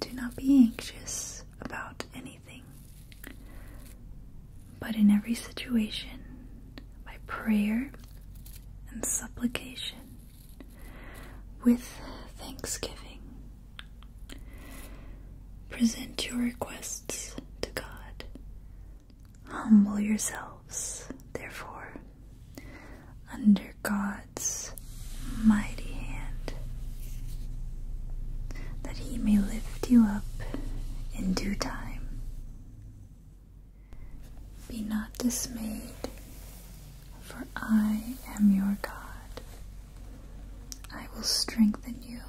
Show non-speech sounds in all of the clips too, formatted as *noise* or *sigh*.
Do not be anxious about anything, but in every situation, by prayer and supplication, with thanksgiving, present your requests to God. Humble yourselves, therefore, under God's mighty hand, that he may lift you up in due time. Be not dismayed, for I am your God. I will strengthen you.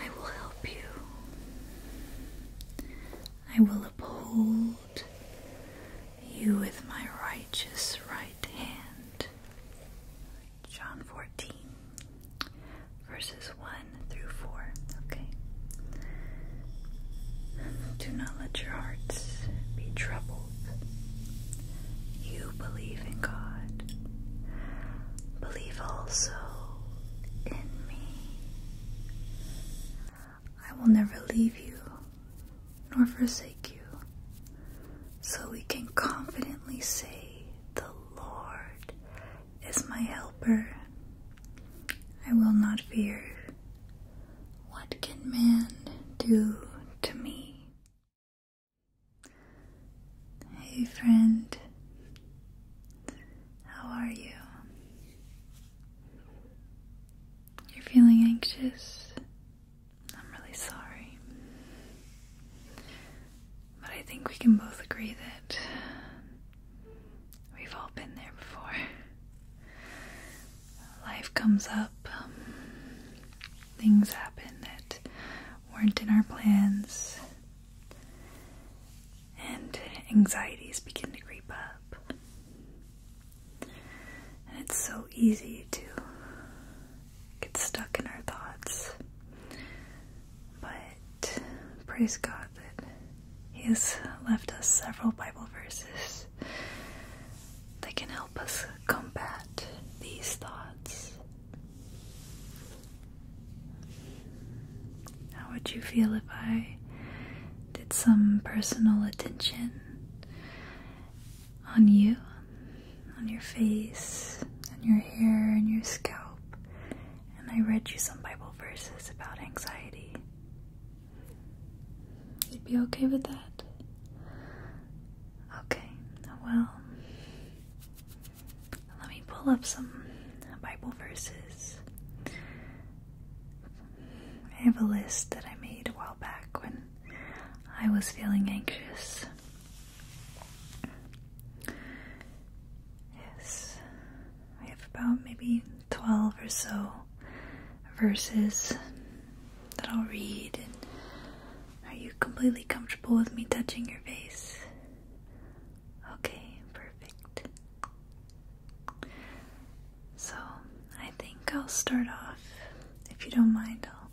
I will help you. I will uphold you with my righteous right hand. John 14, verses 1 through 4. Okay. Do not let your hearts be troubled. You believe in God. Believe also in me. I will never leave you nor forsake you. So we can confidently say, The Lord is my helper. I will not fear. What can man do to me? Hey, friend, how are you? You're feeling anxious. I'm really sorry. But I think we can both agree that we've all been there before. Life comes up, things happen that weren't in our plans, and anxieties begin to creep up it's so easy to get stuck in our thoughts. But praise God that He has left us several Bible verses that can help us combat these thoughts. How would you feel if I did some personal attention on you, on your face, on your hair, and your scalp, and I read you some Bible verses about anxiety. You'd be okay with that? Okay, well, let me pull up some Bible verses I have a list that I made a while back when I was feeling anxious. Yes, I have about maybe 12 or so verses that I'll read. are you completely comfortable with me touching your face? Okay, perfect. So I think I'll start off, if you don't mind, I'll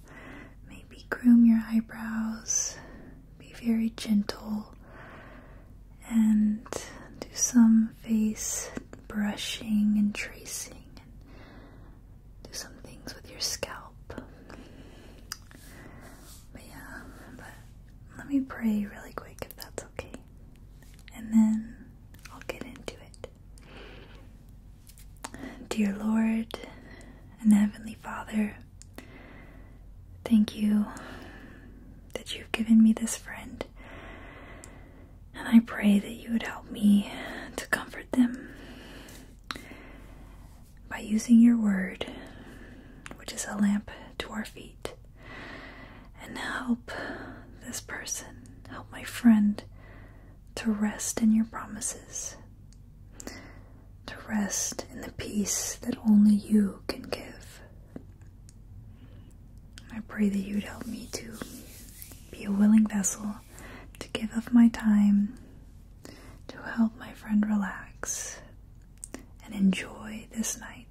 maybe groom your eyebrows, be very gentle, and do some face brushing and tracing, and do some things with your scalp. But yeah, but let me pray really quick if that's okay. And then I'll get into it. Dear Lord and Heavenly Father, thank you that you've given me this friend. And I pray that you would help me to comfort them by using your word, which is a lamp to our feet and help this person, help my friend to rest in your promises, to rest in the peace that only you can give. I pray that you'd help me to be a willing vessel to give up my time to help my friend relax and enjoy this night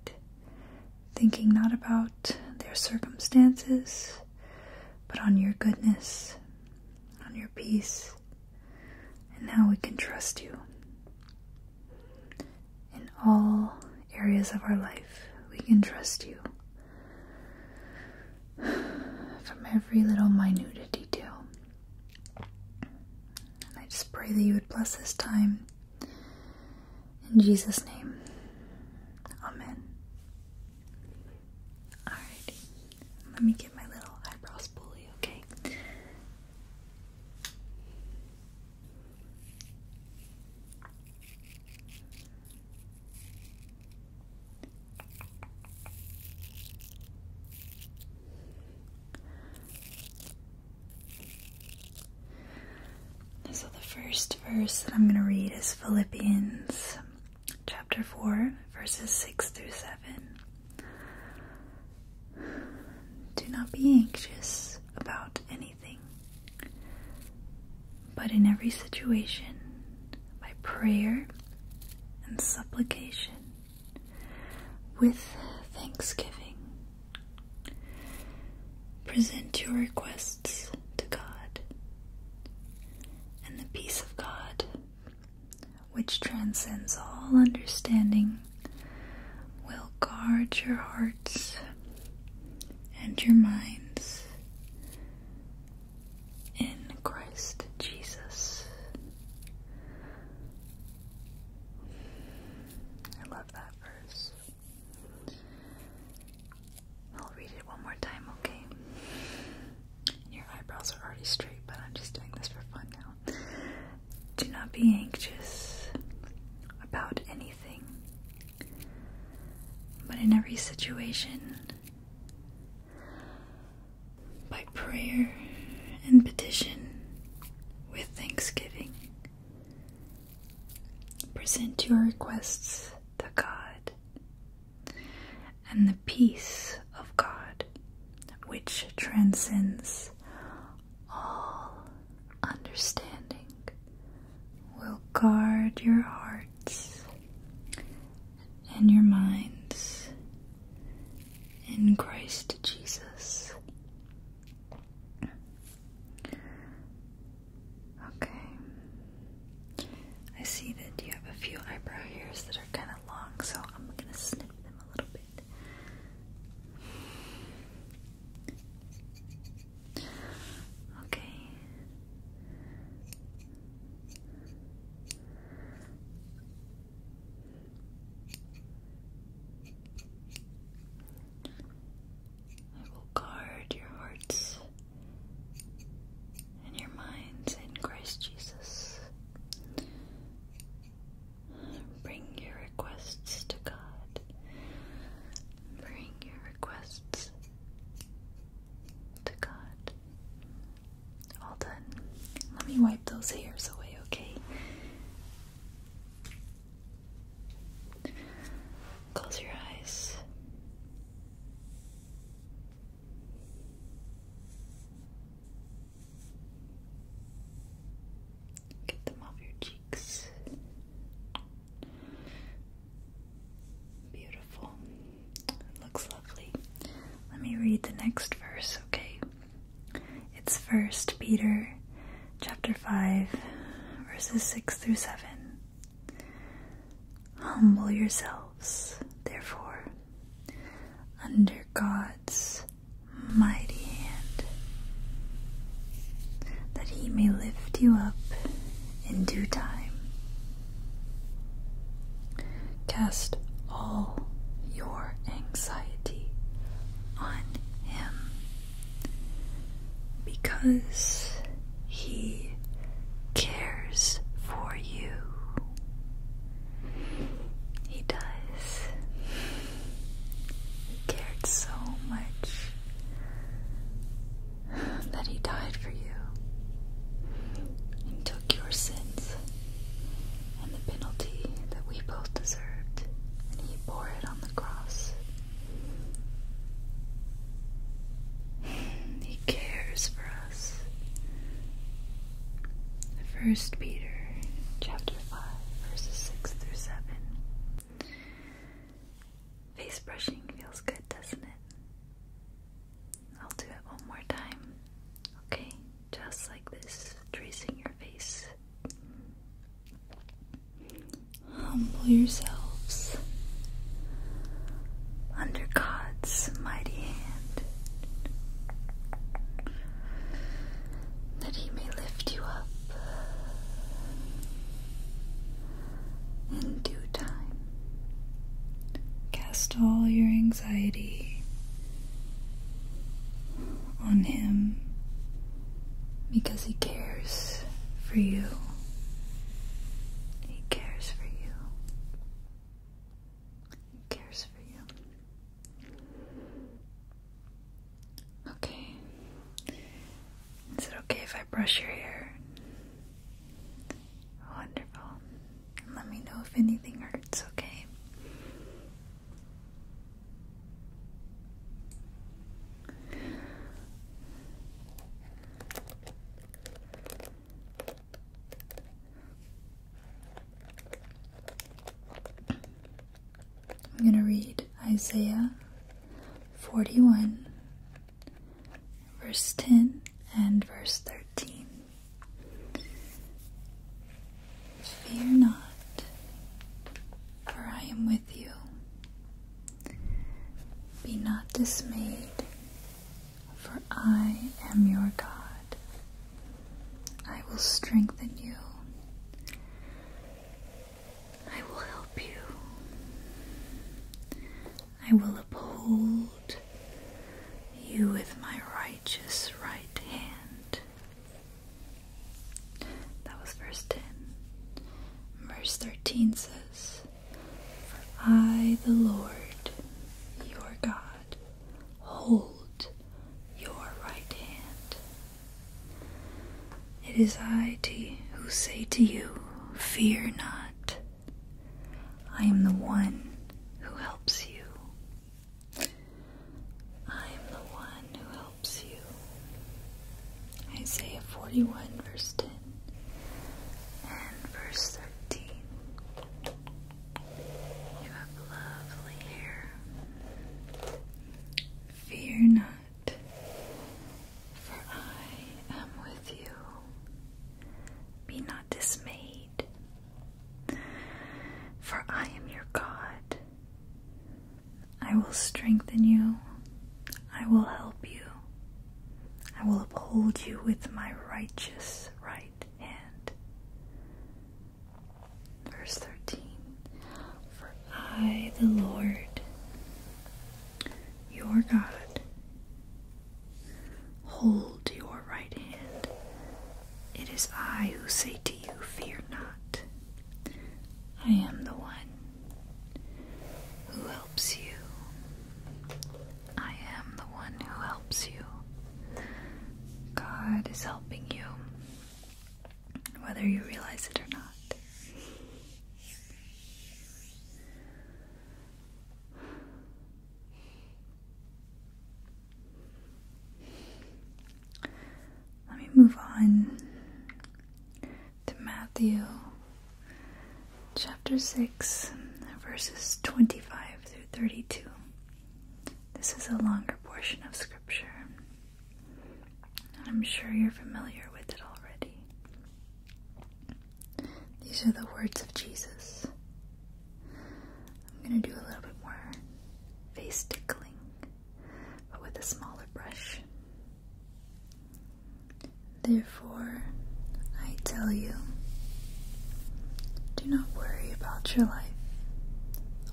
thinking not about their circumstances, but on your goodness, on your peace, and how we can trust you. In all areas of our life, we can trust you. From every little minute detail. And I just pray that you would bless this time in Jesus' name, Amen. Alright, let me get my little eyebrows pulley, okay? So, the first verse that I'm going to read is Philippians chapter 4, verses 6 through 7. Do not be anxious about anything, but in every situation, by prayer and supplication, with thanksgiving, Present your requests to God, and the peace of God, which transcends all understanding, will guard your hearts and your minds in Christ Jesus. I love that verse. I'll read it one more time, okay? Your eyebrows are already straight, but I'm just doing this for fun now. Do not be anxious about anything, but in every situation, by prayer and petition, with thanksgiving, Present your requests to God, and the peace of God, which transcends all understanding, will guard your hearts and your minds in Christ Jesus. Okay. I see that you have a few eyebrow hairs that are kind of long, so I'm gonna snip them a little bit. Okay. I will guard your hearts and your minds in Christ Jesus. Bring your requests to God. Bring your requests to God. All done. Let me wipe those hairs away, okay? Close your eyes. Get them off your cheeks. Beautiful. It looks lovely. Let me read the next verse, okay? It's first Peter chapter 5, verses 6 through 7. Humble yourselves, therefore, under God's mighty hand, that He may lift you up in due time. Cast all your anxiety on Him because he cares for you. He does. He cared so much that he died for you and took your sins and the penalty that we both deserved, and he bore it on the cross. He cares for us. First Peter chapter 5 verses 6 through 7. Face brushing feels good, doesn't it? I'll do it one more time. Okay, just like this, tracing your face Humble yourselves under God's mighty hand that He may lift you up in due time. Cast all your anxiety on Him because he cares for you. He cares for you. He cares for you. Okay. Is it okay if I brush your hair? Wonderful. Let me know if anything hurts, okay? I'm going to read Isaiah 41, verse 10 and verse 13. Fear not for I am with you. Be not dismayed, for I am your God. I will strengthen you. I will help you. I will uphold you with my righteous right hand. That was verse 10. Verse 13 says, For I, the Lord, your God, hold your right hand. It is I who say to you, Fear not. I am the one who helps you. I am the one who Isaiah 41, verse 10 and verse 13. You have lovely hair. Fear not, for I am with you. Be not dismayed, for I am your God. I will strengthen you. I will help you. I will uphold you with my righteous right hand. Verse 13 For I, the Lord, your God, hold your right hand. It is I who say to you, Fear not. I am the one who helps you. I am the one who helps you. God is helping you, whether you realize it or not. Let me move on to Matthew chapter 6, verses 25 through 32. This is a longer portion of scripture. I'm sure you're familiar with it already. These are the words of Jesus. I'm going to do a little bit more face tickling but with a smaller brush. Therefore, I tell you, do not worry about your life,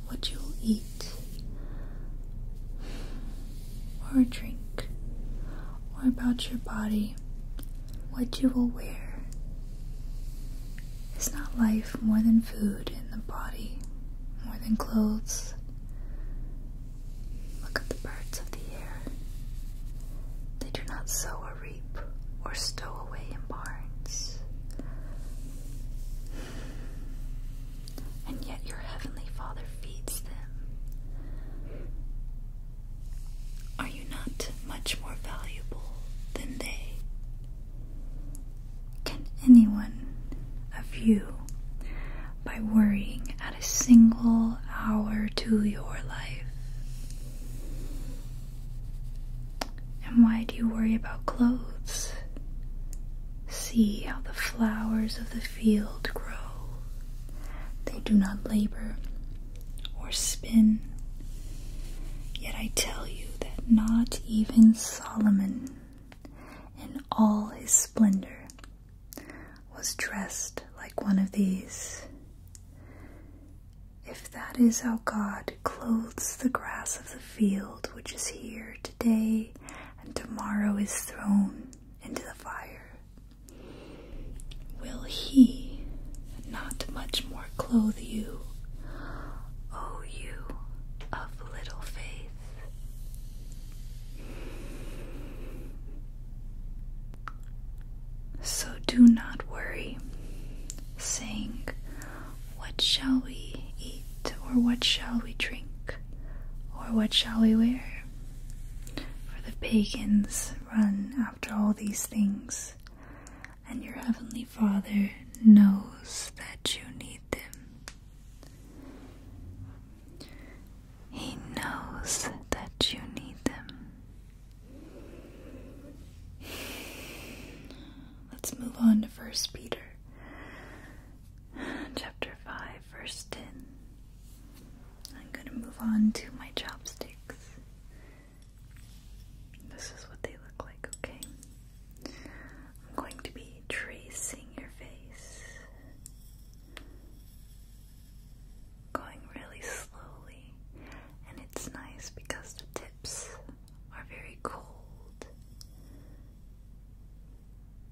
what you will eat, or drink, or about your body, what you will wear. Is not life more than food, in the body more than clothes? Look at the birds of the air. They do not sow or reap or stow away in barns. And yet your heavenly Father feeds them. Are you not much more valuable than they? Can anyone of you, by worrying, add a single hour to your life? And why do you worry about clothes? See how the flowers of the field grow. They do not labor or spin. Yet I tell you that not even Solomon in all his splendor, was dressed like one of these. If that is how God clothes the grass of the field which is here today and tomorrow is thrown into the fire, will He not much more clothe you, O you of little faith? So do not worry, saying, What shall we eat, or what shall we drink, or what shall we wear? For the pagans run after all these things, and your heavenly Father knows that you need them. He knows that you need them. Let's move on to First Peter chapter 5 verse 10. I'm going to move on to my chopsticks. This is what they look like, okay? I'm going to be tracing your face, going really slowly, and it's nice because the tips are very cold.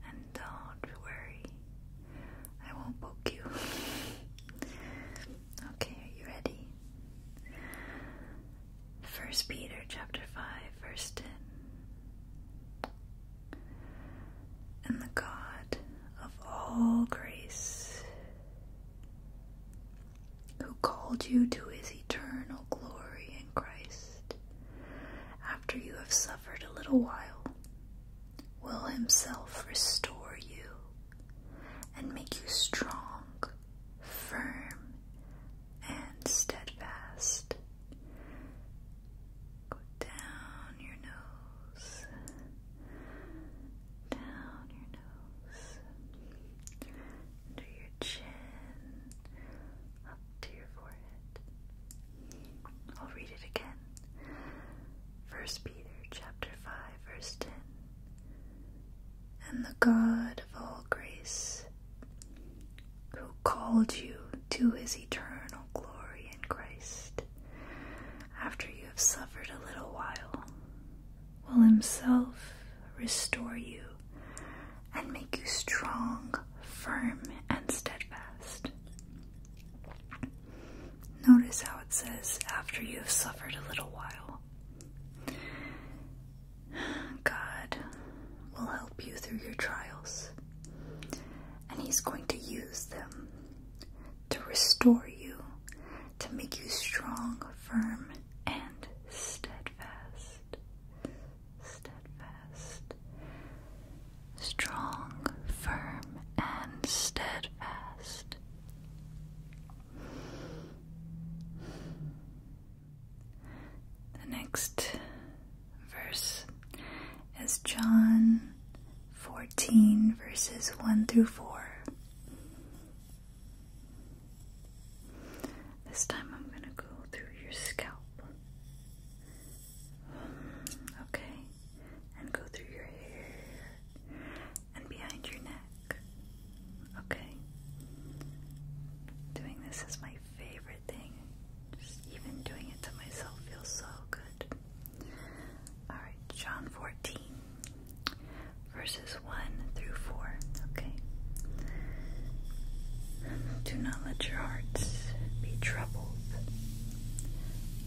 And don't worry, I won't poke you. *laughs* okay, are you ready? First Peter chapter 5, verse 10 and the God of all grace, who called you to his eternal glory in Christ, after you have suffered a little while, will himself restore you and make you strong, firm, and steadfast. Go down your nose, down your nose, under your chin, up to your forehead. I'll read it again. First Peter chapter 5 verse 10. And the God of all grace, who called you to his eternal glory in Christ, after you have suffered a little while, will himself restore you and make you strong, firm, and steadfast. Notice how it says, after you have suffered a little while. God will help you through your trials, and He's going to use them to restore you, to make you strong, firm, and steadfast. Steadfast. Strong, firm, and steadfast. The next verse is John 14, verses 1 through 4. This time I'm going to go through your scalp. Okay, and go through your hair and behind your neck. Okay, doing this as my favorite thing. even doing it to myself feels so good. Alright, John 14, verses 1 through 4. Okay. Do not let your hearts be troubled.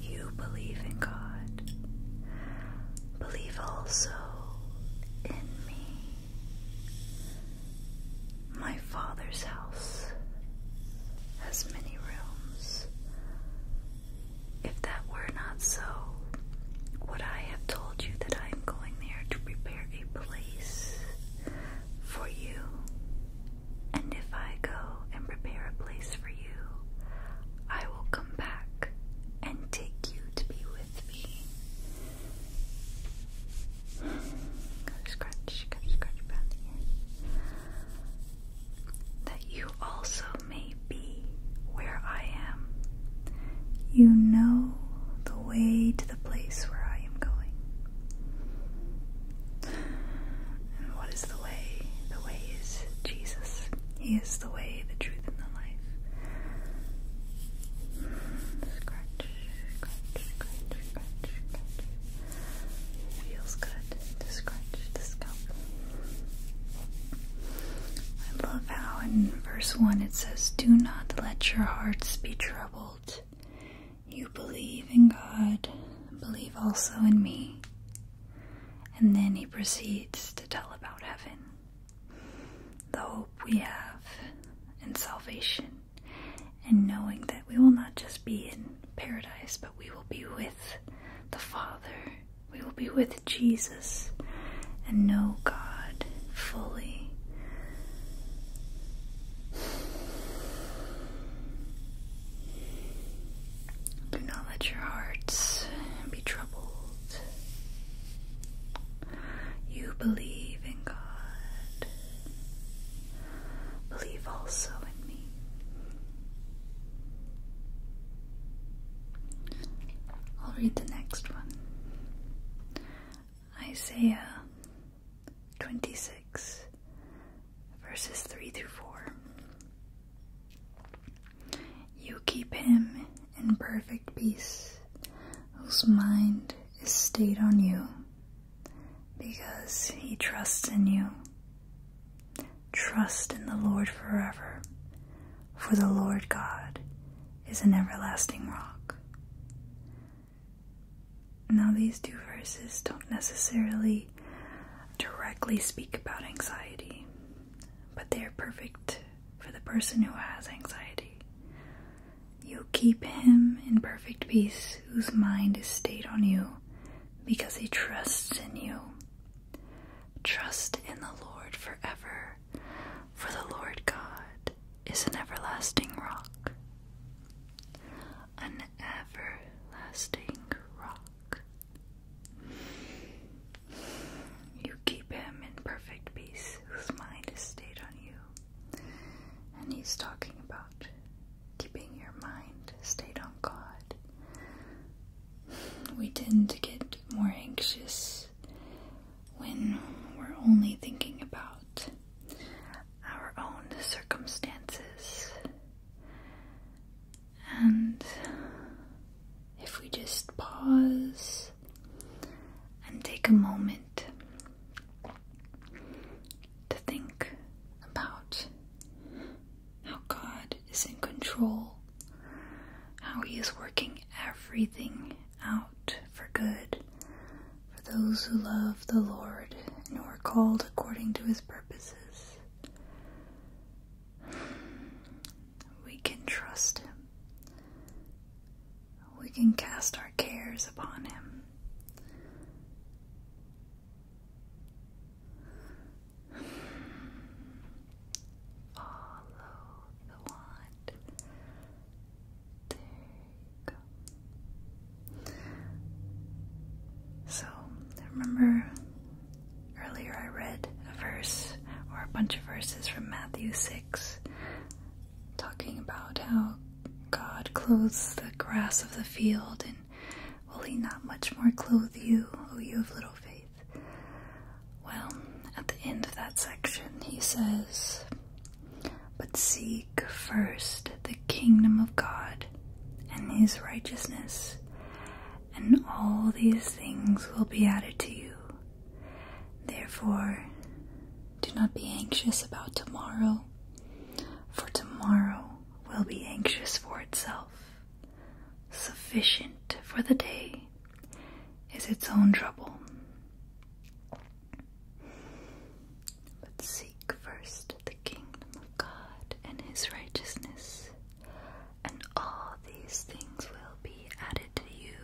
You believe in God. Believe also in me. My father's house has many rooms. If that were not so, would I have told you that I am going there to prepare a place for you? And if I go and prepare a place for you, I will come back and take you to be with me, Gotta scratch, gotta scratch around here. That you also may be where I am. You know the way to the place where I am going. And what is the way? The way is Jesus. He is the way, the truth, and the life. Scratch, Feels good to scrunch the scalp. I love how in verse 1 it says, Do not let your hearts be troubled. You believe in God, believe also in me. And then he proceeds to tell about heaven, the hope we have in salvation and knowing that we will not just be in paradise, but we will be with the Father, we will be with Jesus, and know God fully. Do not let your hearts be troubled. You believe in God. Believe also in me. I'll read the next one Isaiah 26, verses 3 through 4. You keep him in perfect peace whose mind is stayed on you because he trusts in you. Trust in the Lord forever, for the Lord God is an everlasting rock. Now, these two verses don't necessarily directly speak about anxiety, but they are perfect for the person who has anxiety. You keep him in perfect peace whose mind is stayed on you because he trusts in you. Trust in the Lord forever, for the Lord God is an everlasting rock. An everlasting rock. You keep him in perfect peace eyes whose mind is stayed on you. And he's talking about keeping your mind stayed on God. We tend to get more anxious when we're only thinking about our own circumstances. And if we just pause and take a moment to think about how God is in control, how He is working everything out for good for those who love the Lord and who are called according to His purposes. We can trust Him we can cast our cares upon him. Follow the wand. There you go. So, remember earlier I read a verse or a bunch of verses from Matthew 6 talking about how God clothes the grass of the field, and will He not much more clothe you, O you of little faith? Well, at the end of that section, He says, But seek first the kingdom of God and His righteousness, and all these things will be added to you. Therefore, do not be anxious about tomorrow, for tomorrow will be anxious for itself. Sufficient for the day is its own trouble. But seek first the kingdom of God and his righteousness, and all these things will be added to you.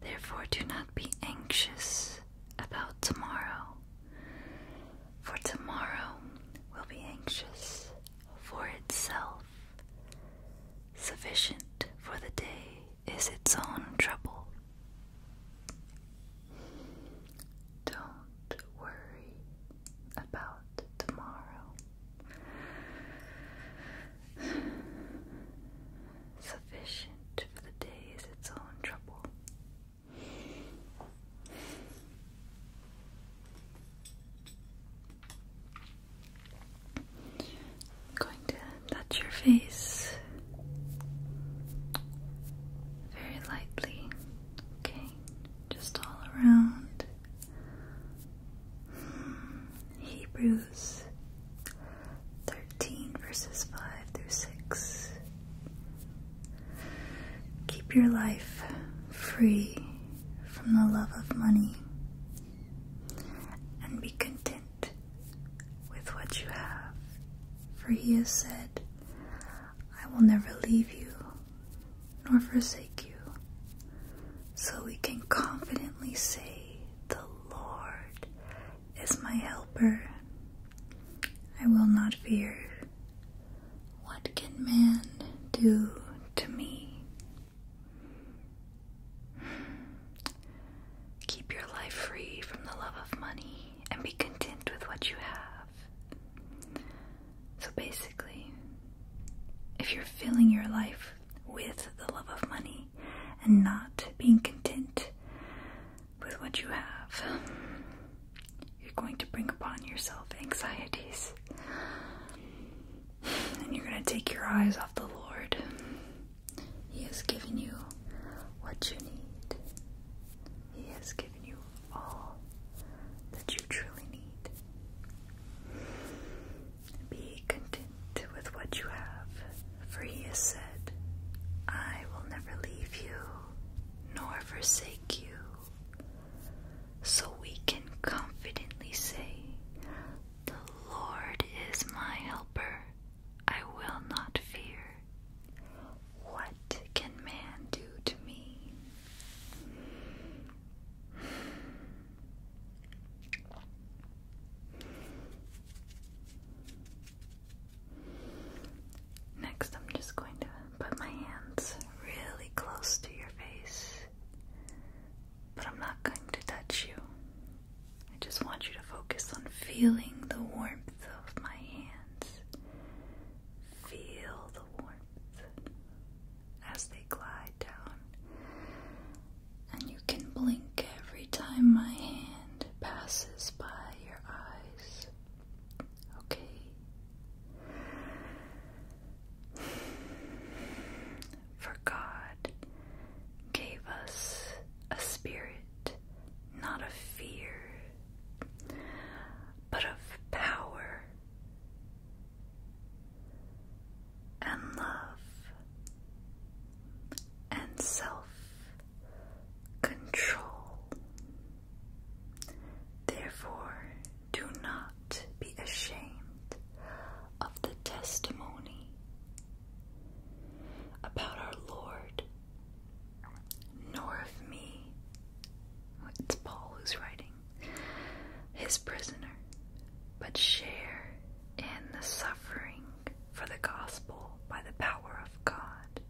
Therefore, do not be anxious about tomorrow, for tomorrow will be anxious for itself. Sufficient for the day is its own trouble. Don't worry about tomorrow sufficient for the day is its own trouble. I'm going to touch your face very lightly, okay? Just all around. Hmm, Hebrews 13 verses 5 through 6. Keep your life free from the love of money and be content with what you have, for he has said, I will never leave you nor forsake you, so we can confidently say, The Lord is my helper. I will not fear. What can man do to me? Keep your life free from the love of money and be content with what you have. So basically, if you're filling your life with the love of money and not being content with what you have, you're going to bring upon yourself anxieties. And you're going to take your eyes off the Lord. He has given you what you need, He has given you all that you truly need. Be content with what you have, for he has said, I will never leave you nor forsake you. So we can confidently say, The Lord is my helper, I will not fear. What can man do to me? Next, I'm just going to put my hands really close to your face, but I'm not going to touch you. I just want you to focus on feeling the warmth of my hands. Feel the warmth as they glide down and you can blink every time my hand passes by your eyes. Okay? For God gave us a spirit, not of fear, but of power and love and self control. Therefore, do not be ashamed of the testimony about our Lord, nor of me. It's Paul who's writing, his prisoner, but share in the suffering for the gospel by the power of God,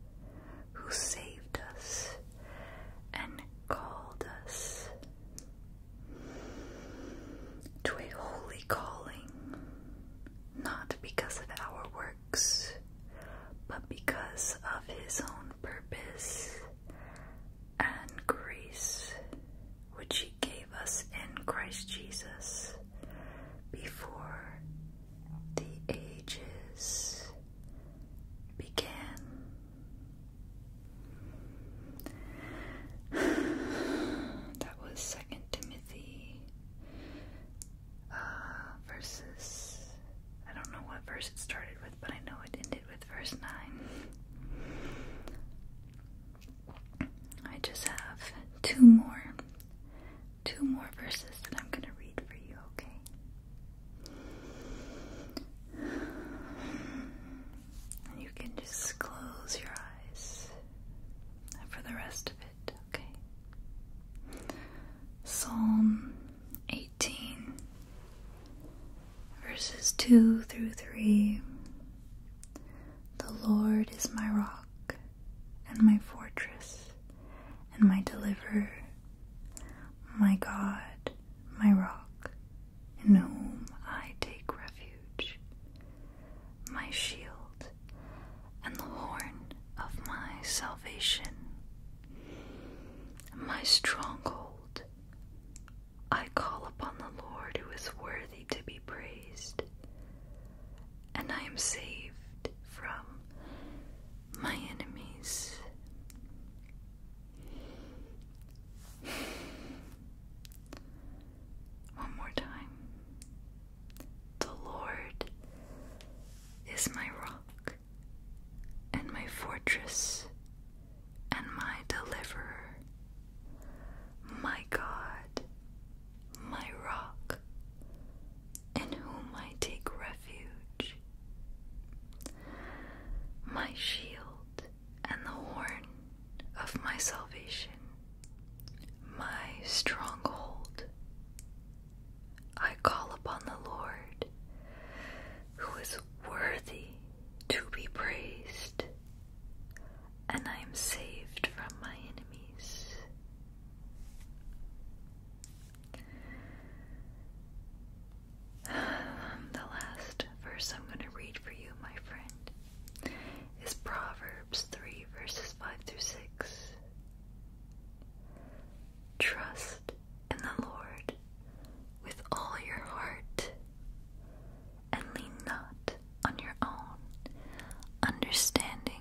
who saved us and called us to a holy calling, not because of our works, but because of His own purpose and grace which He gave us in Christ Jesus before the ages began. *sighs* that was Second Timothy uh, verses. I don't know what verse it started with, but I know it ended with verse 9. I just have two more, two more verses that I'm going to read for you, okay? you can just close your eyes for the rest of it, okay? Psalm 18, verses 2 through 3. The Lord is my rock and my fortress and my deliverer, my God, my rock, in whom I take refuge, my shield and the horn of my salvation, my stronghold. I call upon the Lord who is worthy to be praised, and I am saved from my enemies. One more time. The Lord is my rock and my fortress and my deliverer my God, my rock, in whom I take refuge, my shield and the horn of my salvation, my stronghold. I call upon the Lord, who is worthy to be praised and I am saved from my enemies. *sighs* The last verse I'm going to read for you, my friend, is Proverbs 3, verses 5 through 6. Trust in the Lord with all your heart and lean not on your own understanding.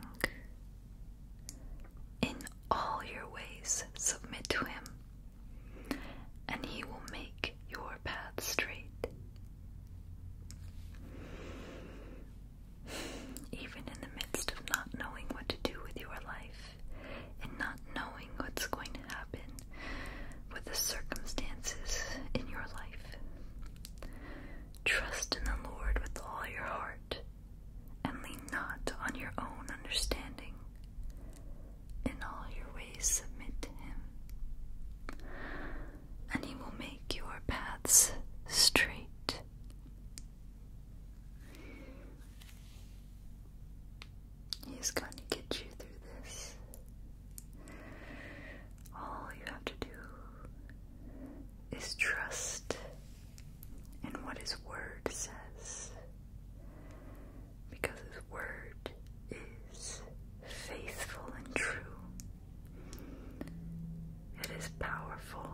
In all your ways, submit to him, and he will make your path straight. Even in the midst of not knowing what to do with your life and not knowing what's going to happen with the circumstances in your life, Trust in the Lord with all your heart, and lean not on your own understanding. In all your ways submit to Him, and He will make your paths straight. He's going to get you through this. All you have to do is trust in what His Word says, because His Word is faithful and true. It is powerful,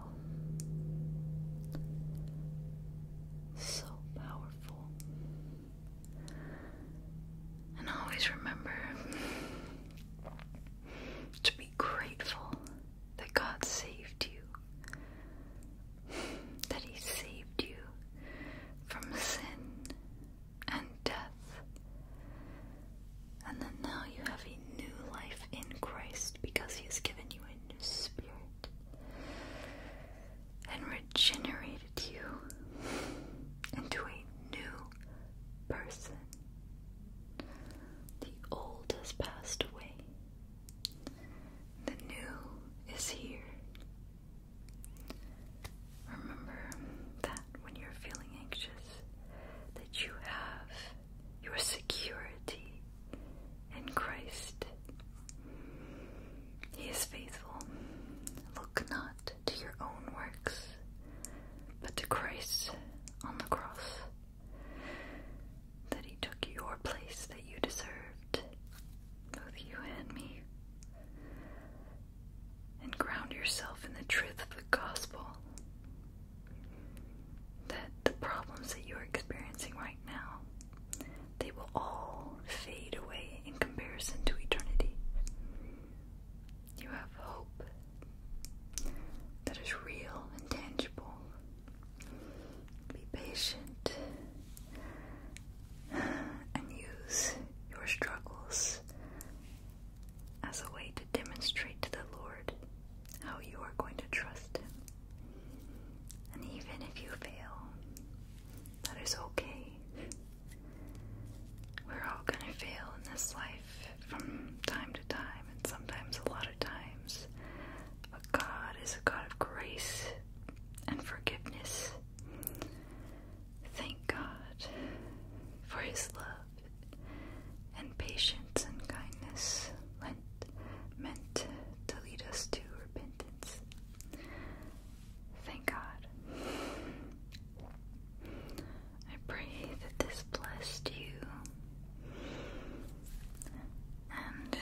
so powerful. And always remember to be grateful that God saved you, that He saved you from sin and death, and that now you have a new life in Christ because He has given you a new spirit and regenerated you into a new person. The old has passed away, the new is here. Remember that when you're feeling anxious, that you have your security in Christ. He is faithful. Look not to your own works, but to Christ on the cross, that He took your place that you deserved, both you and me, and ground yourself in the truth of the gospel. That the problems that you're experiencing right now, they will all fade away in comparison to eternity. You have hope that is real and tangible. Be patient and use your struggles as a way to demonstrate to the Lord how you are going to trust Him. And even if you fail, that is okay. We're all gonna fail in this life from time to time, and sometimes a lot of times. But God is a God of grace and forgiveness. Thank God for His love and patience and kindness lent, meant to lead us to repentance. Thank God. I pray that this blessed you. And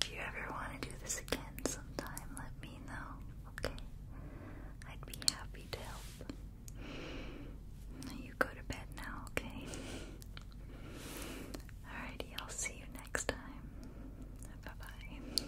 if you ever want to do this again sometime, let me know, okay? I'd be happy to help. You go to bed now, okay? Alrighty, I'll see you next time. Bye bye.